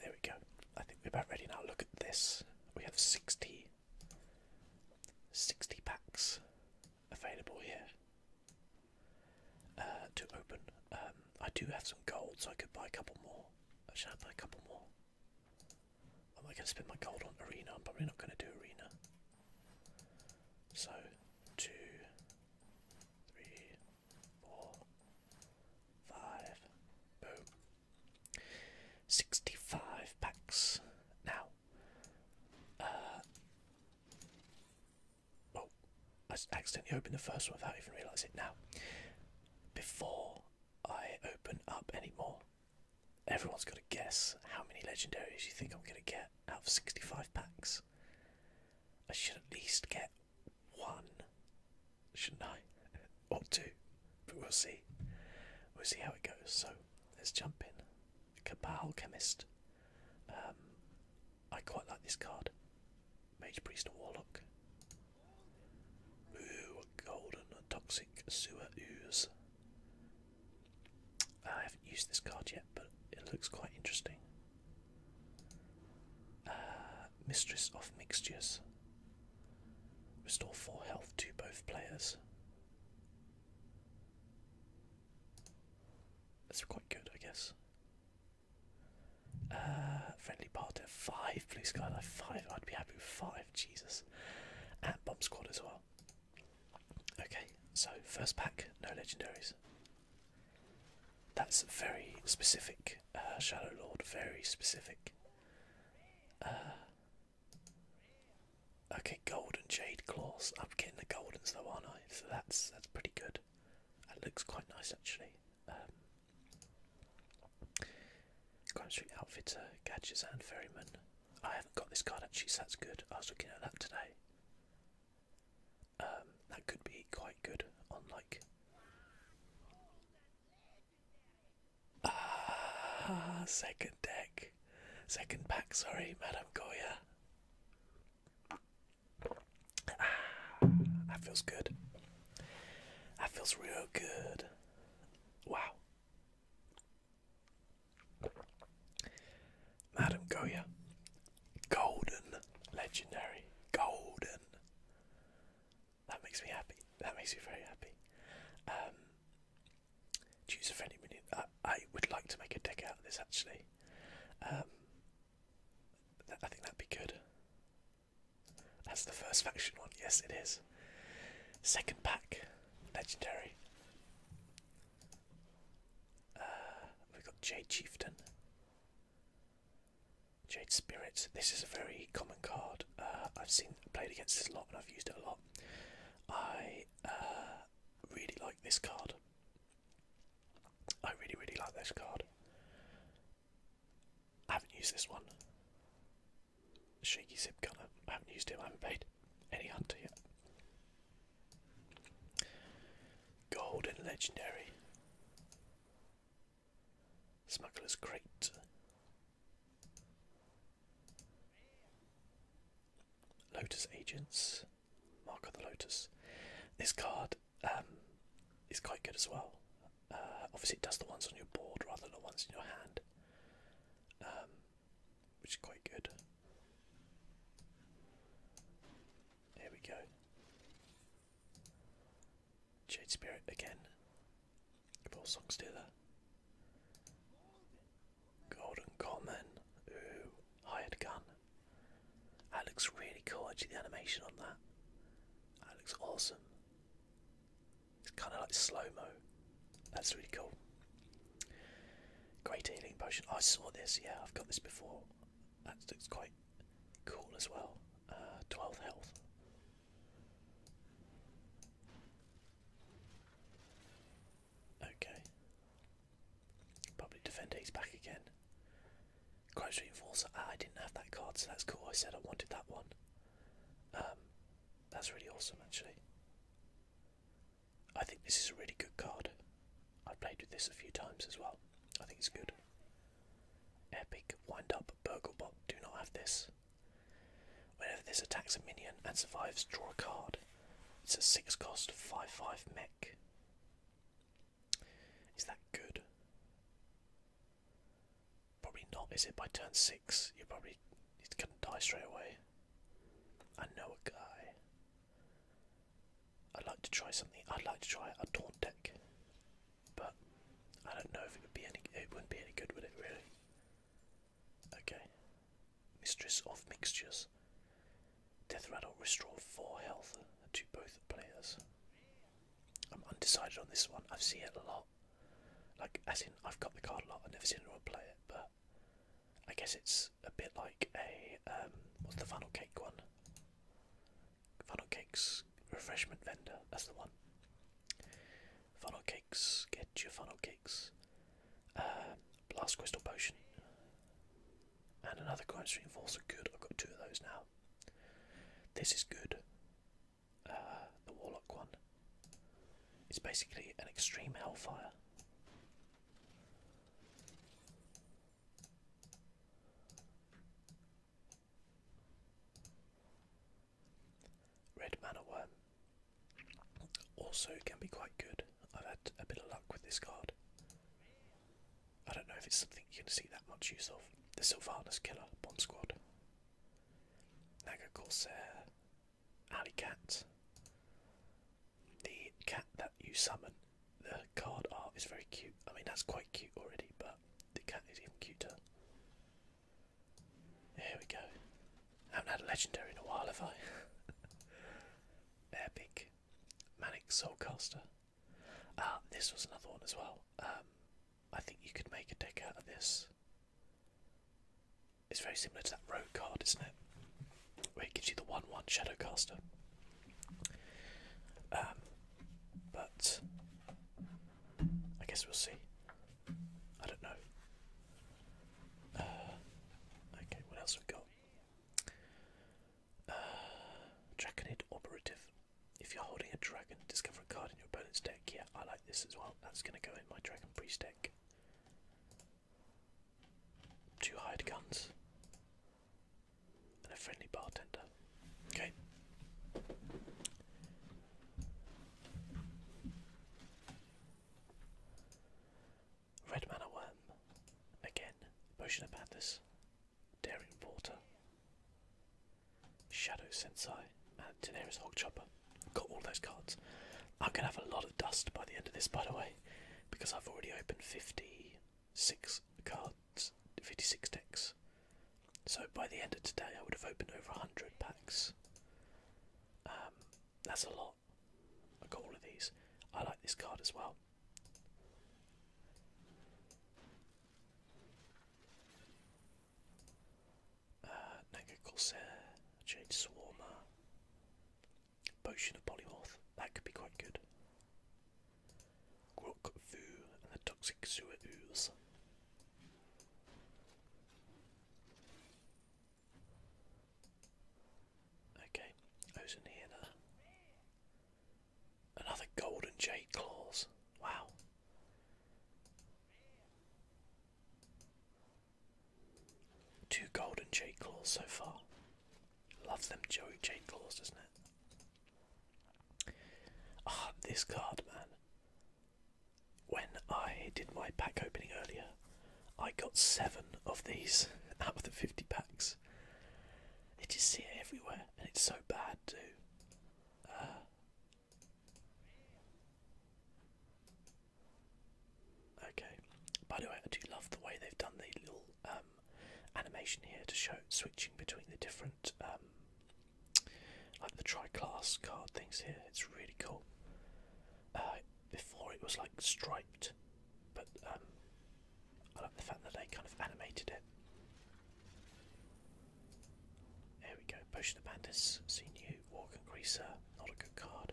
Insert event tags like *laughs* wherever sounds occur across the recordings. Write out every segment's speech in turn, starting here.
There we go. I think we're about ready now. Look at this. We have 60, packs available here uh, to open. Um, I do have some gold, so I could buy a couple more. Should I buy a couple more? Am I going to spend my gold on arena? I'm probably not going to do arena. So, two, three, four, Five. Boom. 65 packs. Now, uh, oh, I accidentally opened the first one without even realising it. Now, before I open up any more, everyone's got to guess how many legendaries you think I'm going to get out of 65 packs. I should at least get one, shouldn't I? or two, but we'll see. We'll see how it goes. So let's jump in. Cabal Chemist. Um, I quite like this card. Mage Priest and Warlock. Ooh, Golden Toxic Sewer Ooze. I haven't used this card yet, but it looks quite interesting. Uh, Mistress of Mixtures. Restore 4 health to both players. That's quite good, I guess. Uh, friendly party at 5, Blue Skylight 5. I'd be happy with 5, Jesus. And Bomb Squad as well. Okay, so first pack, no legendaries. That's very specific, uh, Shadow Lord, very specific. Uh, okay, golden jade claws. I'm getting the goldens though, aren't I? So that's that's pretty good. That looks quite nice actually. Grand um, Street Outfitter, uh, Gadgets and Ferryman. I haven't got this card actually, so that's good. I was looking at that today. Um, that could be quite good on like Ah, second deck. Second pack, sorry, Madame Goya. Ah, that feels good. That feels real good. Wow. Madame Goya. Golden. Legendary. Golden. That makes me happy. That makes me very happy. Um, choose a friendly minion. I, I would like to make a deck out of this actually. Um, I think that'd be good. That's the first faction one. Yes, it is. Second pack, legendary. Uh, we've got Jade Chieftain. Jade Spirit. This is a very common card. Uh, I've seen played against this a lot, and I've used it a lot. I uh, really like this card. I really, really like this card. I haven't used this one. Shaky Zip Gunner. I haven't used him. I haven't played any hunter yet. Golden Legendary. Smuggler's Crate. Lotus Agents. Mark of the Lotus. This card um, is quite good as well. Uh, obviously, it does the ones on your board rather than the ones in your hand, um, which is quite good. There we go. Jade Spirit again. Four songs do that. Golden Common. Ooh, hired gun. That looks really cool actually the animation on that. That looks awesome. It's kinda like slow-mo. That's really cool. Great healing potion. I saw this, yeah, I've got this before. That looks quite cool as well. Uh, 12 health. Okay. Probably defender, he's back again. Crimes Reinforcer, ah, I didn't have that card, so that's cool. I said I wanted that one. Um, that's really awesome, actually. I think this is a really good card. I've played with this a few times as well. I think it's good. Epic wind up Burglebot. Do not have this. Whenever this attacks a minion and survives, draw a card. It's a 6 cost 5 5 mech. Is that good? Probably not, is it? By turn 6, you probably it to die straight away. I know a guy. I'd like to try something. I'd like to try a taunt deck. But I don't know if it would be any. It wouldn't be any good, would it? Really? Okay. Mistress of Mixtures. Death Rattle restore four health to both players. I'm undecided on this one. I've seen it a lot. Like, as in, I've got the card a lot. I've never seen anyone play it, but I guess it's a bit like a um, what's the funnel cake one? Funnel cakes refreshment vendor. That's the one. Funnel cakes, get your funnel cakes. Uh, blast crystal potion. And another crime stream force are good. I've got two of those now. This is good. Uh, the warlock one. It's basically an extreme hellfire. Red Mana Worm also can be quite good. I've had a bit of luck with this card. I don't know if it's something you're going to see that much use of. The Sylvanas Killer, Bomb Squad. Naga Corsair, Alley Cat. The cat that you summon, the card art is very cute. I mean, that's quite cute already, but the cat is even cuter. Here we go. I haven't had a legendary in a while, have I? *laughs* Epic. Manic Soulcaster. Ah, this was another one as well. Um, I think you could make a deck out of this. It's very similar to that Road card, isn't it? Where it gives you the 1 1 Shadowcaster. Um, but I guess we'll see. I don't know. Uh, okay, what else we got? Uh, Operative. If you're holding a dragon, discover a card in your opponent's deck. Yeah, I like this as well. That's going to go in my Dragon Priest deck. Two hired guns. And a friendly bartender. Okay. Red Mana Worm. Again, Potion of Madness. Daring Porter. Shadow Sensei. And Daenerys Hogchopper. Got all those cards. I'm going to have a lot of dust by the end of this, by the way, because I've already opened 56 cards, 56 decks so by the end of today, I would have opened over 100 packs. Um, that's a lot. I got all of these. I like this card as well. Uh, Corsair, Jade Swarmer, Potion of Polymorph, that could be quite good. Grok Vu and the Toxic Sewer Okay, who's in here now? Another golden jade claws. Wow. Two golden jade claws so far. Love them jade claws, doesn't it? Ah, this card, man when I did my pack opening earlier, I got seven of these *laughs* out of the 50 packs. It is just see everywhere, and it's so bad too. Uh, okay. By the way, I do love the way they've done the little um, animation here to show switching between the different um, like the tri-class card things here. It's really cool. Uh, before it was like striped, but um, I like the fact that they kind of animated it. There we go. Potion of Bandits, see new. Walk and Greaser, not a good card.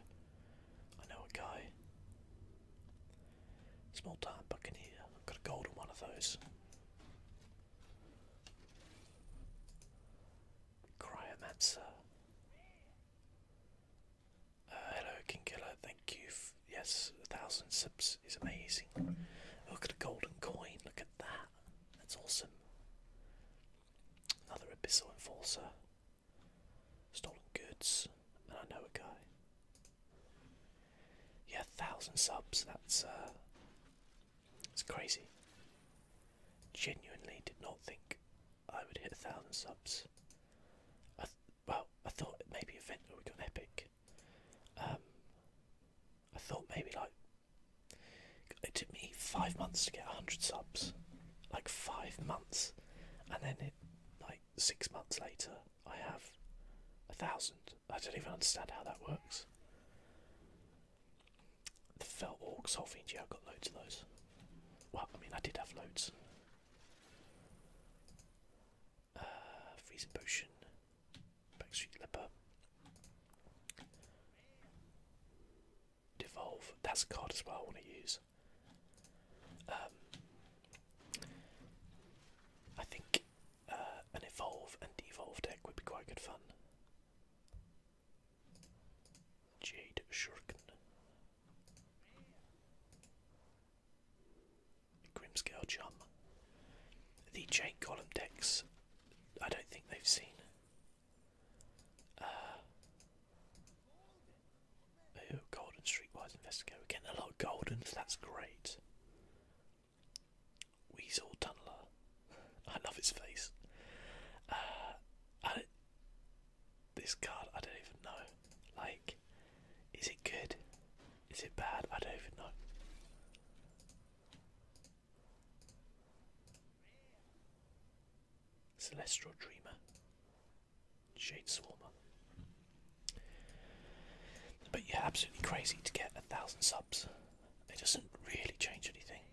I know a guy. Small time Buccaneer. I've got a golden one of those. Cryomancer. Uh, hello, King Killer. Thank you. yes, a thousand subs is amazing. Look at the golden coin. Look at that. That's awesome. Another abyssal enforcer. Stolen goods. And I know a guy. Yeah, thousand subs. That's uh, it's crazy. Genuinely did not think I would hit a thousand subs. well, I thought maybe event we got epic. Um, I thought maybe like it took me five months to get a hundred subs, like five months, and then it like six months later I have a thousand. I don't even understand how that works. The Fell Orcs, whole thing, yeah, I got loads of those. Well, I mean, I did have loads. Uh, freezing Potion, Backstreet Leper, Devolve, that's a card as well I want to use. Um, I think uh, an Evolve and Devolve deck would be quite good fun. Jade Shurken. Grimscale Chum. The Jade Column decks, I don't think they've seen. Uh, oh, Golden Streetwise Investigator. We're getting a lot of Goldens, that's great. Weasel Tunneler. *laughs* I love his face. I, uh, this card, I don't even know. Like, is it good? Is it bad? I don't even know. Celestial Dreamer. Shade Swarmer. But yeah, absolutely crazy to get a thousand subs. It doesn't really change anything,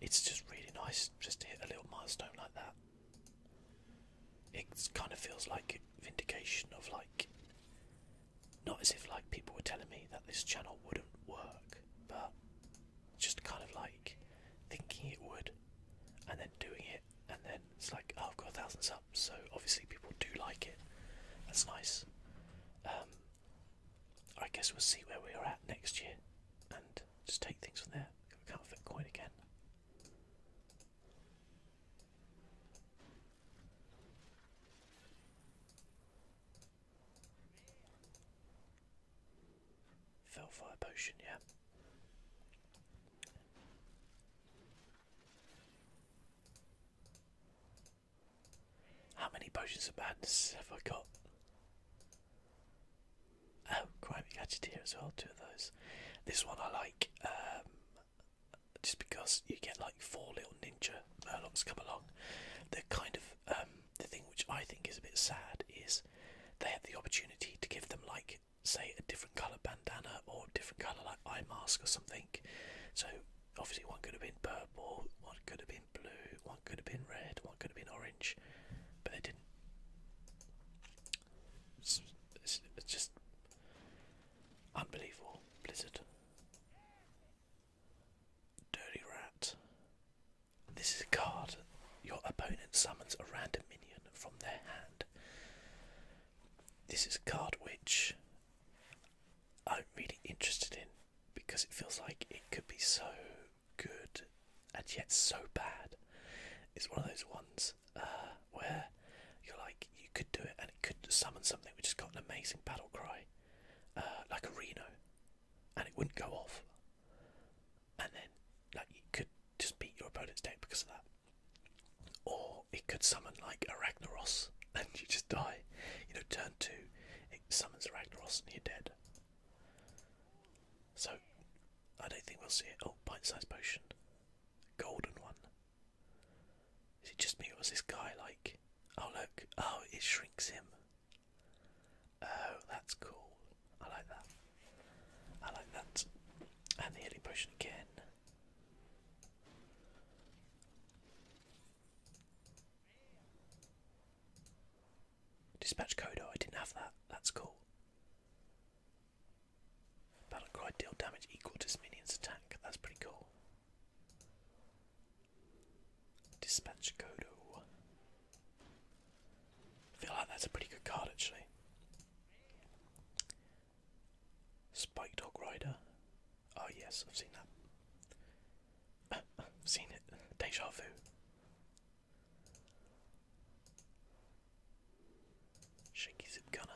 it's just really nice just to hit a little milestone like that. It kind of feels like vindication of like, not as if like people were telling me that this channel wouldn't work, but just kind of like thinking it would and then doing it and then it's like oh, I've got a thousand subs so obviously people do like it that's nice um, I guess we'll see where we are at next year and just take things from there. can't fit coin again. Fell potion, yeah. How many potions of madness have I got? Um, Crime Gadgeteer as well, two of those. This one I like um, just because you get like four little ninja merlons come along. they kind of um, the thing which I think is a bit sad is they had the opportunity to give them like say a different colour bandana or different colour like eye mask or something. So obviously one could have been purple, one could have been blue, one could have been red, one could have been orange, but they it's just unbelievable. Blizzard. Dirty Rat. This is a card. Your opponent summons a random minion from their hand. This is a card which I'm really interested in because it feels like it could be so good and yet so bad. It's one of those ones uh, where you're like, you could do it and it could summon something which has got an amazing battle cry, uh, like a Reno, and it wouldn't go off. And then, like, you could just beat your opponent's deck because of that. Or it could summon, like, a Ragnaros *laughs* and you just die. You know, turn two, it summons a Ragnaros and you're dead. So, I don't think we'll see it. Oh, bite-sized potion. Golden one. Is it just me or was this guy like... Oh look, oh it shrinks him. Oh, that's cool. I like that. I like that. And the healing potion again. Dispatch Kodo, I didn't have that. That's cool. Battle cry damage equal to minion's attack. That's pretty cool. Dispatch Kodo. feel like that's a pretty good card actually. Spike Dog Rider. Oh yes, I've seen that. I've *laughs* seen it. Deja vu. Shaky zip gunner.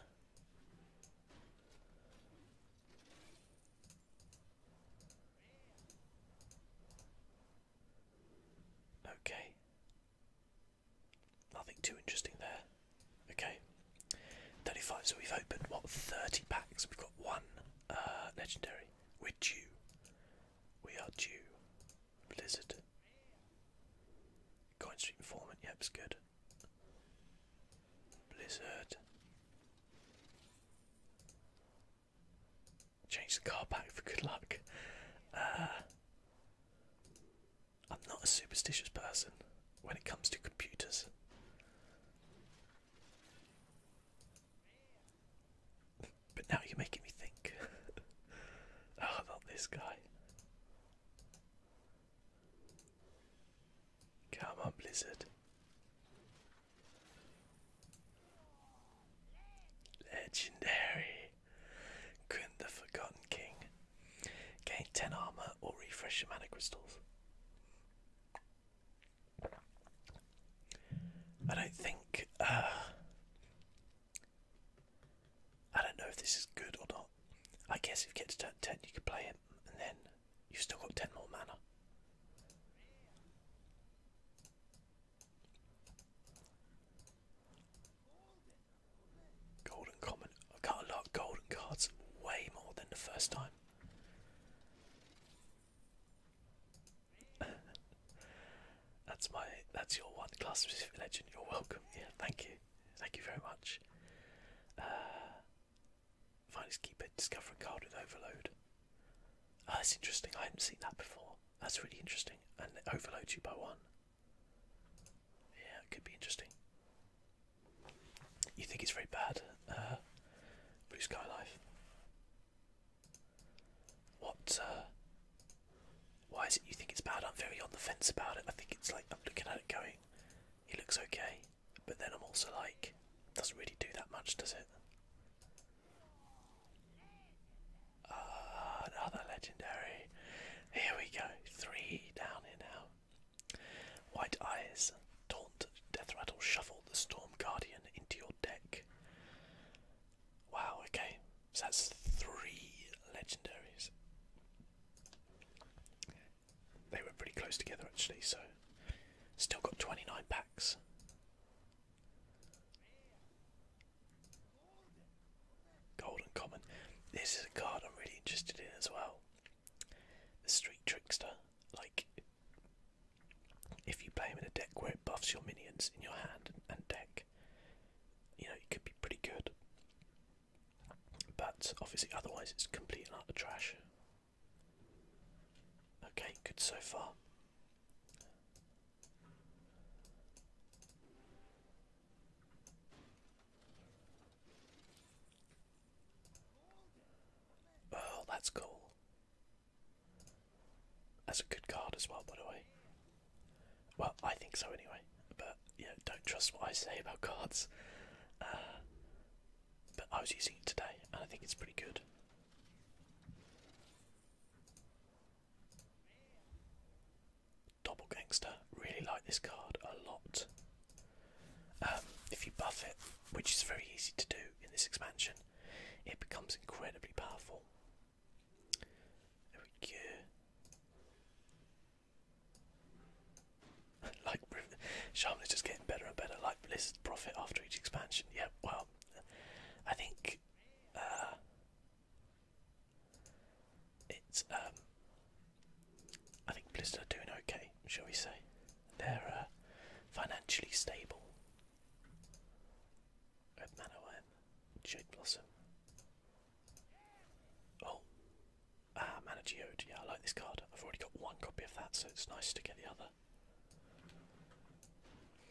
Okay. Nothing too interesting there. Okay. 35, so we've opened what 30 packs. We've got one uh, legendary. We're due. We are due. Blizzard. Coin Street Informant, yep, it's good. Blizzard. Change the car back for good luck. Uh, I'm not a superstitious person when it comes to computers. But now you're making me think. *laughs* about this guy. Come on, Blizzard. Legendary. Grin the Forgotten King. Gain 10 armor or refresh your mana crystals. I don't think uh, I don't know if this is good or not. I guess if you get to turn 10 you can play it, and then you've still got 10 more mana. Golden common. i got a lot golden cards, way more than the first time. *laughs* That's my that's your one class specific legend. You're welcome. Yeah, thank you. Thank you very much. Uh finest keeper discovering card with overload. Oh, that's interesting, I hadn't seen that before. That's really interesting. And it overloads you by one. Yeah, it could be interesting. You think it's very bad, uh, Blue Sky Life. What uh, why is it you think it's bad? I'm very on the fence about it. I think it's like I'm looking at it going, it looks okay, but then I'm also like, doesn't really do that much, does it? Ah, another legendary. Here we go, three down here now. White eyes, taunt, death shuffle the storm guardian into your deck. Wow, okay. So that's three legendaries. They were pretty close together actually, so still got 29 packs. Golden Common. This is a card I'm really interested in as well. The Street Trickster. Like, if you play him in a deck where it buffs your minions in your hand and deck, you know, it could be pretty good. But obviously, otherwise, it's complete and utter trash. Okay, good so far. Oh, that's cool. That's a good card as well, by the way. Well, I think so anyway. But you know, don't trust what I say about cards. Uh, but I was using it today, and I think it's pretty good. Double Gangster, really like this card a lot. Um, if you buff it, which is very easy to do in this expansion, it becomes incredibly powerful. There we go. *laughs* like Shaman is just getting better and better. Like Blizzard's profit after each expansion. Yeah, well, I think uh, it's um, I think Blizzard are doing okay. Shall we say they're uh, financially stable. Red Jade Blossom, Oh, ah, Mana Yeah, I like this card. I've already got one copy of that, so it's nice to get the other.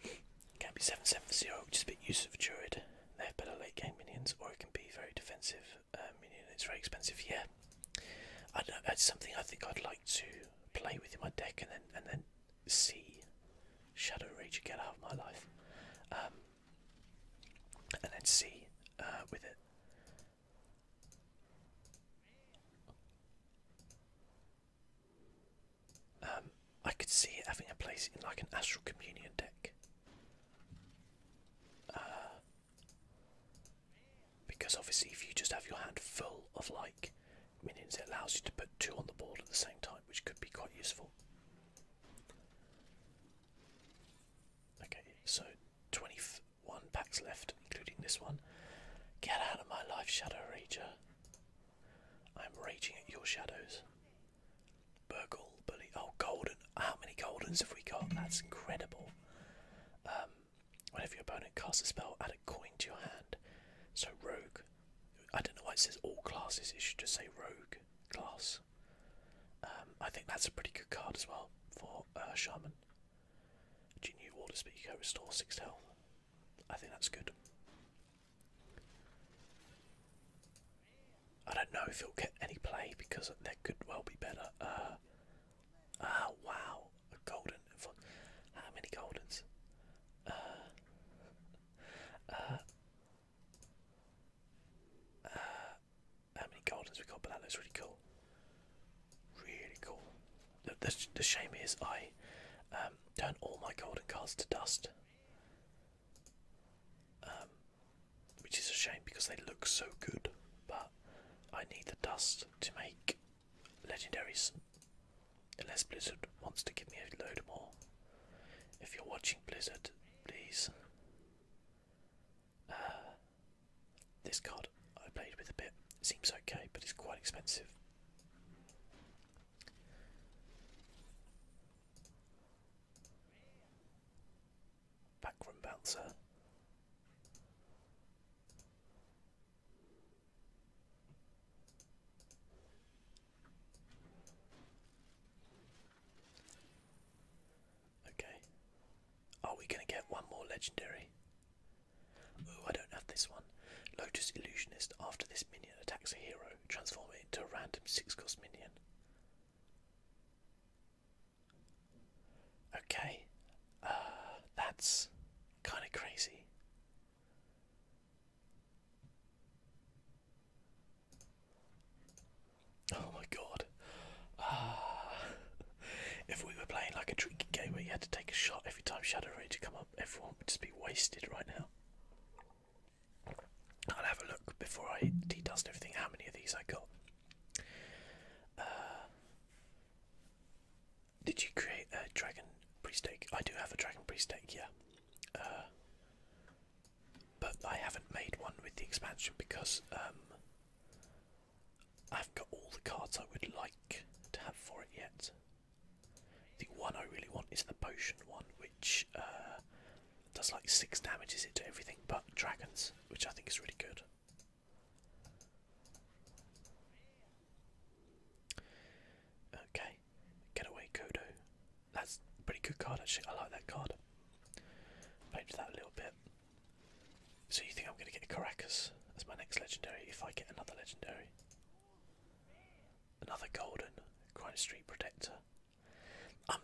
It can be 7-7-0, which is a bit useless for Druid. They have better late game minions, or it can be very defensive uh, minion. It's very expensive. Yeah, I That's something I think I'd like to play with in my deck, and then and then see Shadow Rager get out of my life. Um, and then uh, C with it. Um, I could see it having a place in like an Astral Communion deck. Uh, because obviously, if you just have your hand full of like minions, it allows you to put two on the board at the same time, which could be quite useful. Okay, so 21 packs left, including this one. Get out of my life, Shadow Rager. I'm raging at your shadows. Burgal, Bully. Oh, Golden. How many Goldens have we got? That's incredible. Um, whenever your opponent casts a spell, add a coin to your hand. So, Rogue. I don't know why it says all classes, it should just say Rogue class. Um, I think that's a pretty good card as well for uh, Shaman. Genie Water Speaker, restore 6 health. I think that's good. I don't know if he will get any play because there could well be better. Uh, ah, wow, a golden. How many goldens? Uh, uh, uh, how many gardens we got? But that looks really cool. Really cool. The, shame is I um, turn all my golden cards to dust, um, which is a shame because they look so good. But I need the dust to make legendaries. Unless Blizzard wants to give me a load more. If you're watching Blizzard, please uh, this card I played with a bit. seems okay, but it's quite expensive. Backroom bouncer. Okay. Are we gonna get one more legendary? Oh, I don't have this one. Lotus Illusionist. After this minion attacks a hero, transform it into a random six-cost minion. Okay, uh, that's kind of crazy. Oh my god. Uh, if we were playing like a drinking game where you had to take a shot every time Shadow Ranger come up, everyone would just be wasted right now. I'll have a look before I de-dust everything how many of these I got. Uh, did you create a dragon priest egg? I do have a dragon priest take, yeah. Uh, but I haven't made one with the expansion because um, I've got all the cards I would like to have for it yet. The one I really want is the potion one, which uh, does like six damages into everything but dragons, which I think is really good. Okay, get away that's a pretty good card actually. I like that card. Played that a little bit. So you think I'm going to get a Caracas as my next legendary if I get another legendary? Another golden Crime Street Protector. I'm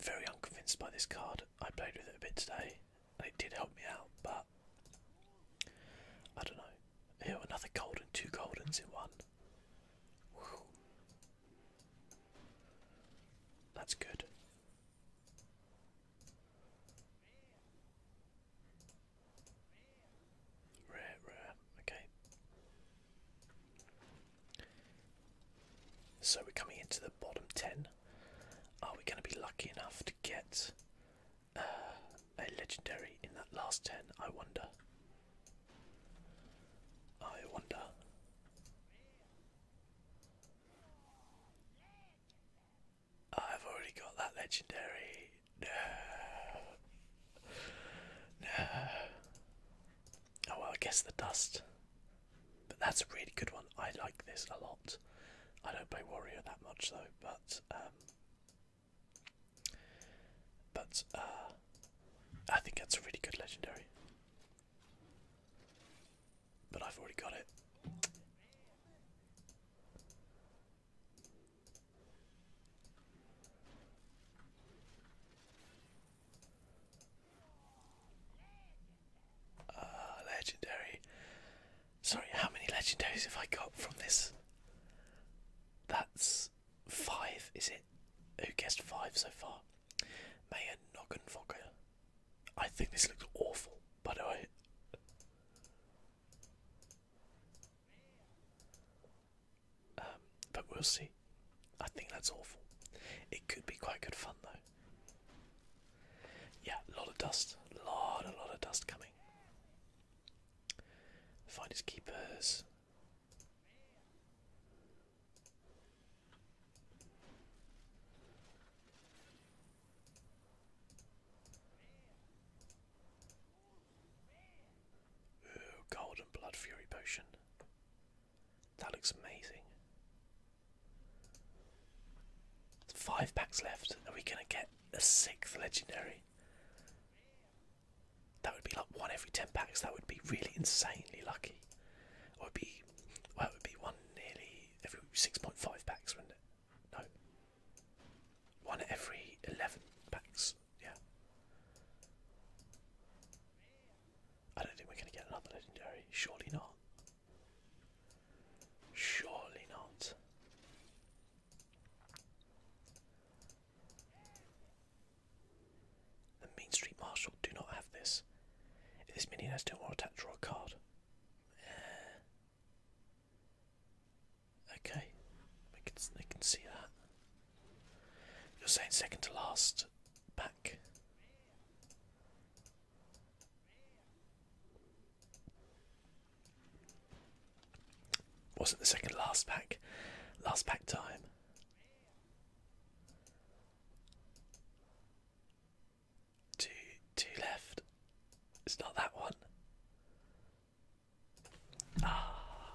very unconvinced by this card. I played with it a bit today, it did help me out, but I don't know. Ew, another golden, two goldens in one. That's good. Rare, rare, okay. So we're coming into the bottom 10. Are we going to be lucky enough to get uh, a legendary in that last 10? I wonder. I wonder. I've already got that legendary. No. No. Oh well, I guess the dust. But that's a really good one. I like this a lot. I don't play warrior that much though, but um, but uh, I think that's a really good legendary. But I've already got it. Uh, legendary. Sorry, how many legendaries have I got from this? That's five, is it? Who guessed five so far? Mayor Noggenfocker. I think this looks awful, by the way. Um, but we'll see. I think that's awful. It could be quite good fun though. Yeah, a lot of dust. A lot, a lot of dust coming. Find his keepers. Ooh, golden blood fury potion. That looks amazing. Five packs left. Are we gonna get a sixth legendary? That would be like one every ten packs. That would be really insanely lucky it'd be well it would be one nearly every six point five packs, wouldn't it? No. One every eleven packs, yeah. I don't think we're gonna get another legendary, surely not. Surely not. The Mean Street Marshal do not have this this minion has two more attack, draw a card. okay, we can, I can see that. You're saying second to last back. Wasn't the second last pack? Last pack time. Two, two left. It's not that one. Ah,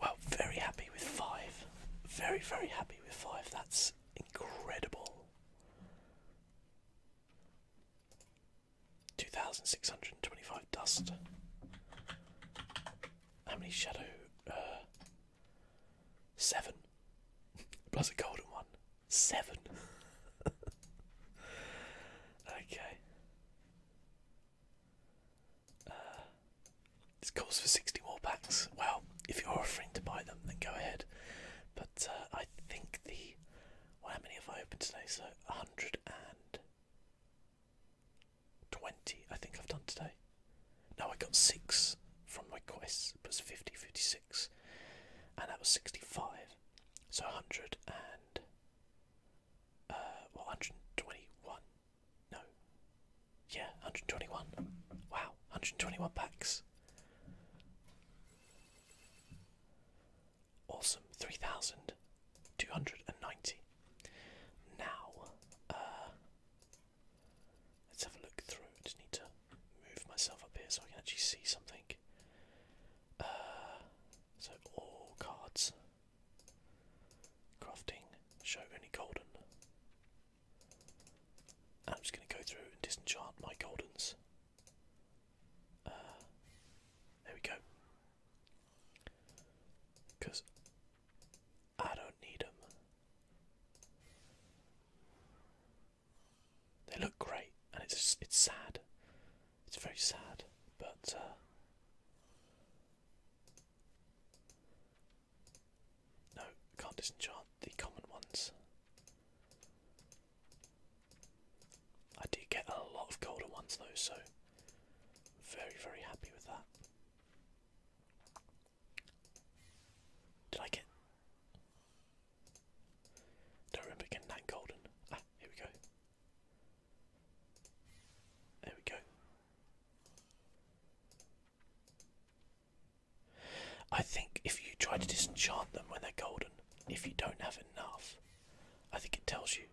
well, very happy with five. Very, very happy with five. That's incredible. 2,625 dust. How many shadow uh, Seven. *laughs* Plus a golden one. Seven. *laughs* okay. Uh, this calls for 60 more packs. Well, if you're offering to buy them, then go ahead. But uh, I think the. Well, how many have I opened today? So 120, I think I've done today. Now I got six from my quests, plus 50, 56 and that was sixty-five. So hundred and uh, hundred twenty-one. No, yeah, hundred twenty-one. Wow, hundred twenty-one packs. Awesome, three thousand two hundred and ninety. Now, uh, Let's have a look through. I just need to move myself up here so I can actually see something. Uh, so all cards. Crafting. Show only golden. I'm just going to go through and disenchant my goldens. Uh, there we go. Because I don't need them. They look great, and it's it's sad. It's very sad, but uh, no, can't disenchant the common ones. I do get a lot of golden ones though, so very very happy with that. Did I get don't remember getting that golden. Ah, here we go. There we go. I think if you try to disenchant them when they're golden, if you don't have enough, I think it tells you.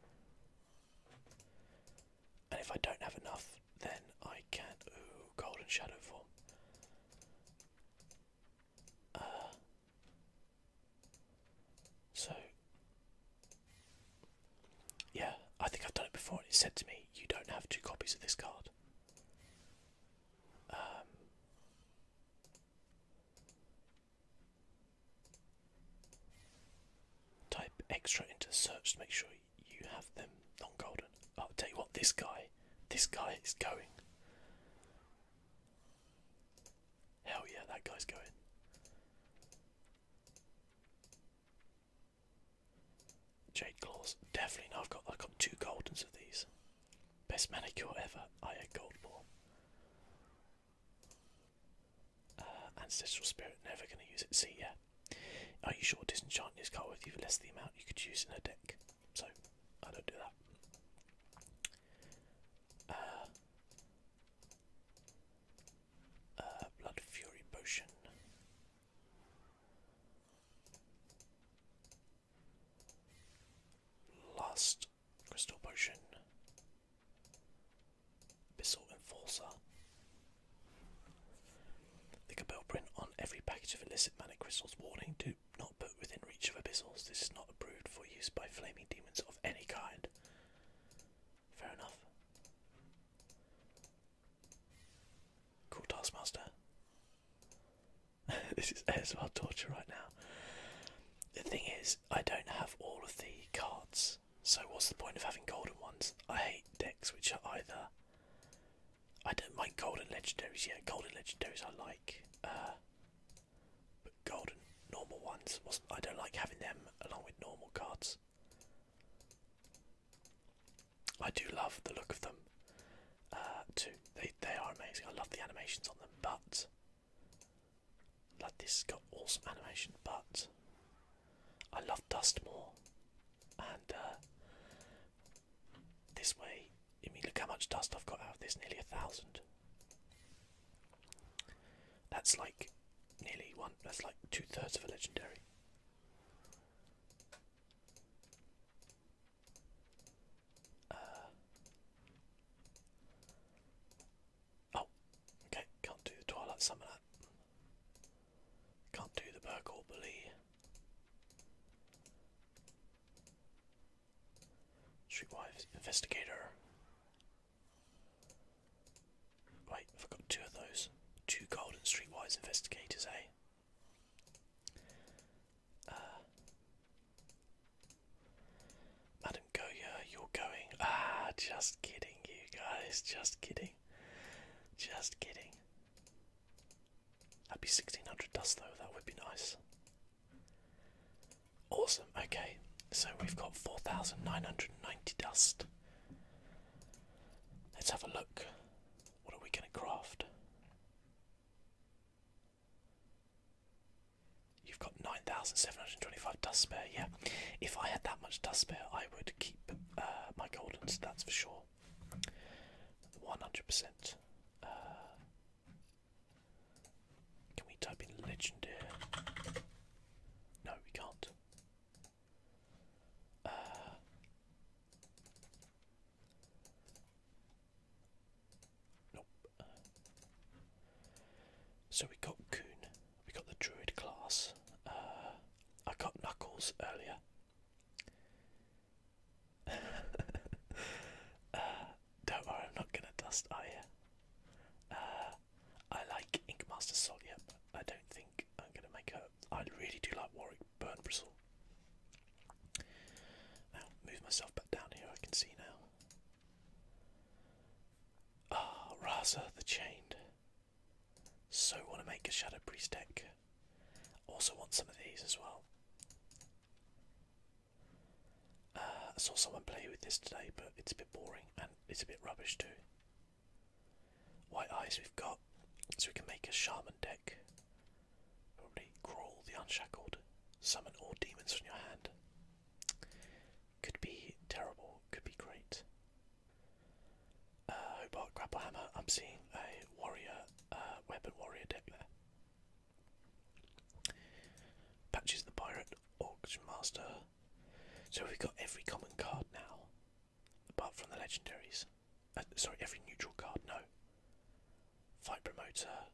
And if I don't have enough, then I can. not Ooh, golden shadow form. Uh, so, yeah, I think I've done it before, and it said to me, "You don't have two copies of this card." Um, type extra into search to make sure you have them non-golden. I'll tell you what, this guy, this guy is going. Hell yeah, that guy's going. Jade claws, definitely. Now I've got I've got two goldens of these. Best manicure ever. I had gold ball. Uh, ancestral spirit, never gonna use it. See, yeah. Are you sure disenchanting is card with you less than the amount you could use in a deck? So I don't do that. Uh, uh, Blood Fury Potion. Last Crystal Potion. Bissell Enforcer. The Cabell print on every package of illicit manic crystals warning to not put within reach of abyssals. This is not approved for use by flaming demons of any kind. Fair enough. Cool Taskmaster. *laughs* this is as well torture right now. The thing is, I don't have all of the cards, so what's the point of having golden ones? I hate decks which are either. I don't mind golden legendaries, yeah, golden legendaries I like. Uh, but golden, normal ones, I don't like having them along with normal cards. I do love the look of them uh, too. They, they are amazing. I love the animations on them, but. Like this got awesome animation, but I love Dust more. And uh, this way, I mean, look how much dust I've got out of this, nearly a thousand. That's like nearly one, that's like two thirds of a legendary. Uh, oh, okay, can't do the Twilight Summoner. Can't do the Burgle Bully. Streetwise Investigator. Wait, I've got two of those. Two golden Streetwise Investigators, eh? Uh, Madam Goya, you're going. Ah, just kidding, you guys. Just kidding. Just kidding. i would be 1600 dust, though. That would be nice. Awesome, okay, so we've got 4,990 dust. Let's have a look. What are we going to craft? You've got 9,725 dust spare, yeah. If I had that much dust spare, I would keep uh, my goldens, that's for sure. 100%. Can we type in legendary? No, we can't. Uh, nope. so we got Coon, we got the Druid class. Uh, I got Knuckles earlier. *laughs* don't worry, I'm not gonna dust Aya. Uh, I like Ink Master Solia, but I don't think I'm gonna make her. I really do like Warwick Burn Bristle. Now, move myself back down here, I can see now. Ah, Raza the Chained. So want to make a Shadow Priest deck. Also want some of these as well. I saw someone play with this today, but it's a bit boring and it's a bit rubbish too. White eyes we've got, so we can make a shaman deck. Probably Grawl the Unshackled, summon all demons from your hand. Could be terrible, could be great. Uh, Hobart Hammer, I'm seeing a warrior, uh, weapon warrior deck there. Patches the Pirate, Auction Master. So we've got every common card now, apart from the legendaries. Uh, sorry, every neutral card, no. Fight Promoter.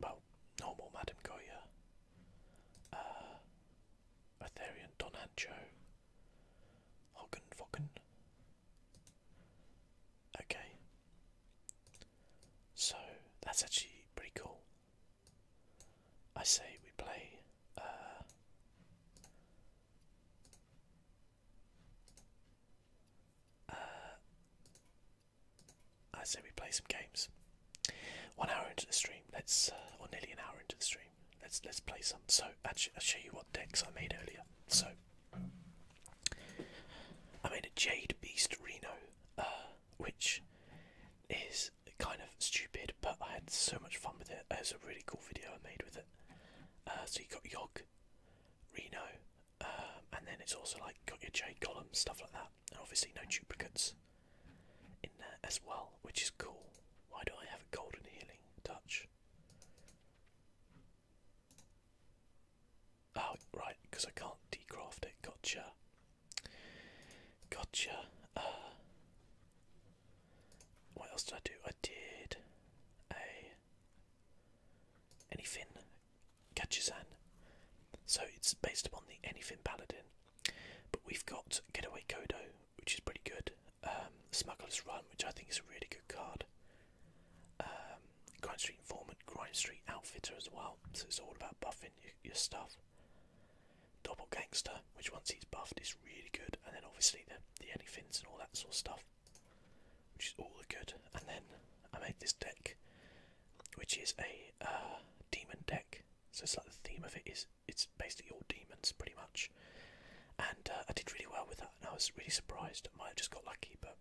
Well, normal Madam Goya. Uh, Don Ancho. Hoggen Okay. So that's actually pretty cool. I say we play uh, uh, I say we play some games. One hour into the stream, let's uh, or nearly an hour into the stream. Let's let's play some. So I'll show you what decks I made earlier. So I made a Jade Beast Reno, uh, which is kind of stupid, but I had so much fun with it. It was a really cool video I made with it. Uh, so you got Yog, Reno, um, and then it's also like got your Jade column stuff like that, and obviously no duplicates in there as well, which is cool. Why do I have a golden healing touch? Oh, right, because I can't decraft it. Gotcha. Gotcha. Uh, what else did I do? I did a. catches Gachizan. So it's based upon the Anyfin Paladin. But we've got Getaway Kodo, which is pretty good. Um, Smuggler's Run, which I think is a really good card. Um, Grind Street Informant, Grind Street Outfitter as well. So it's all about buffing your, stuff. Double Gangster, which once he's buffed is really good, and then obviously the the anythings and all that sort of stuff, which is all good. And then I made this deck, which is a uh, demon deck. So it's like the theme of it is it's basically all demons pretty much. And uh, I did really well with that, and I was really surprised. I might have just got lucky, but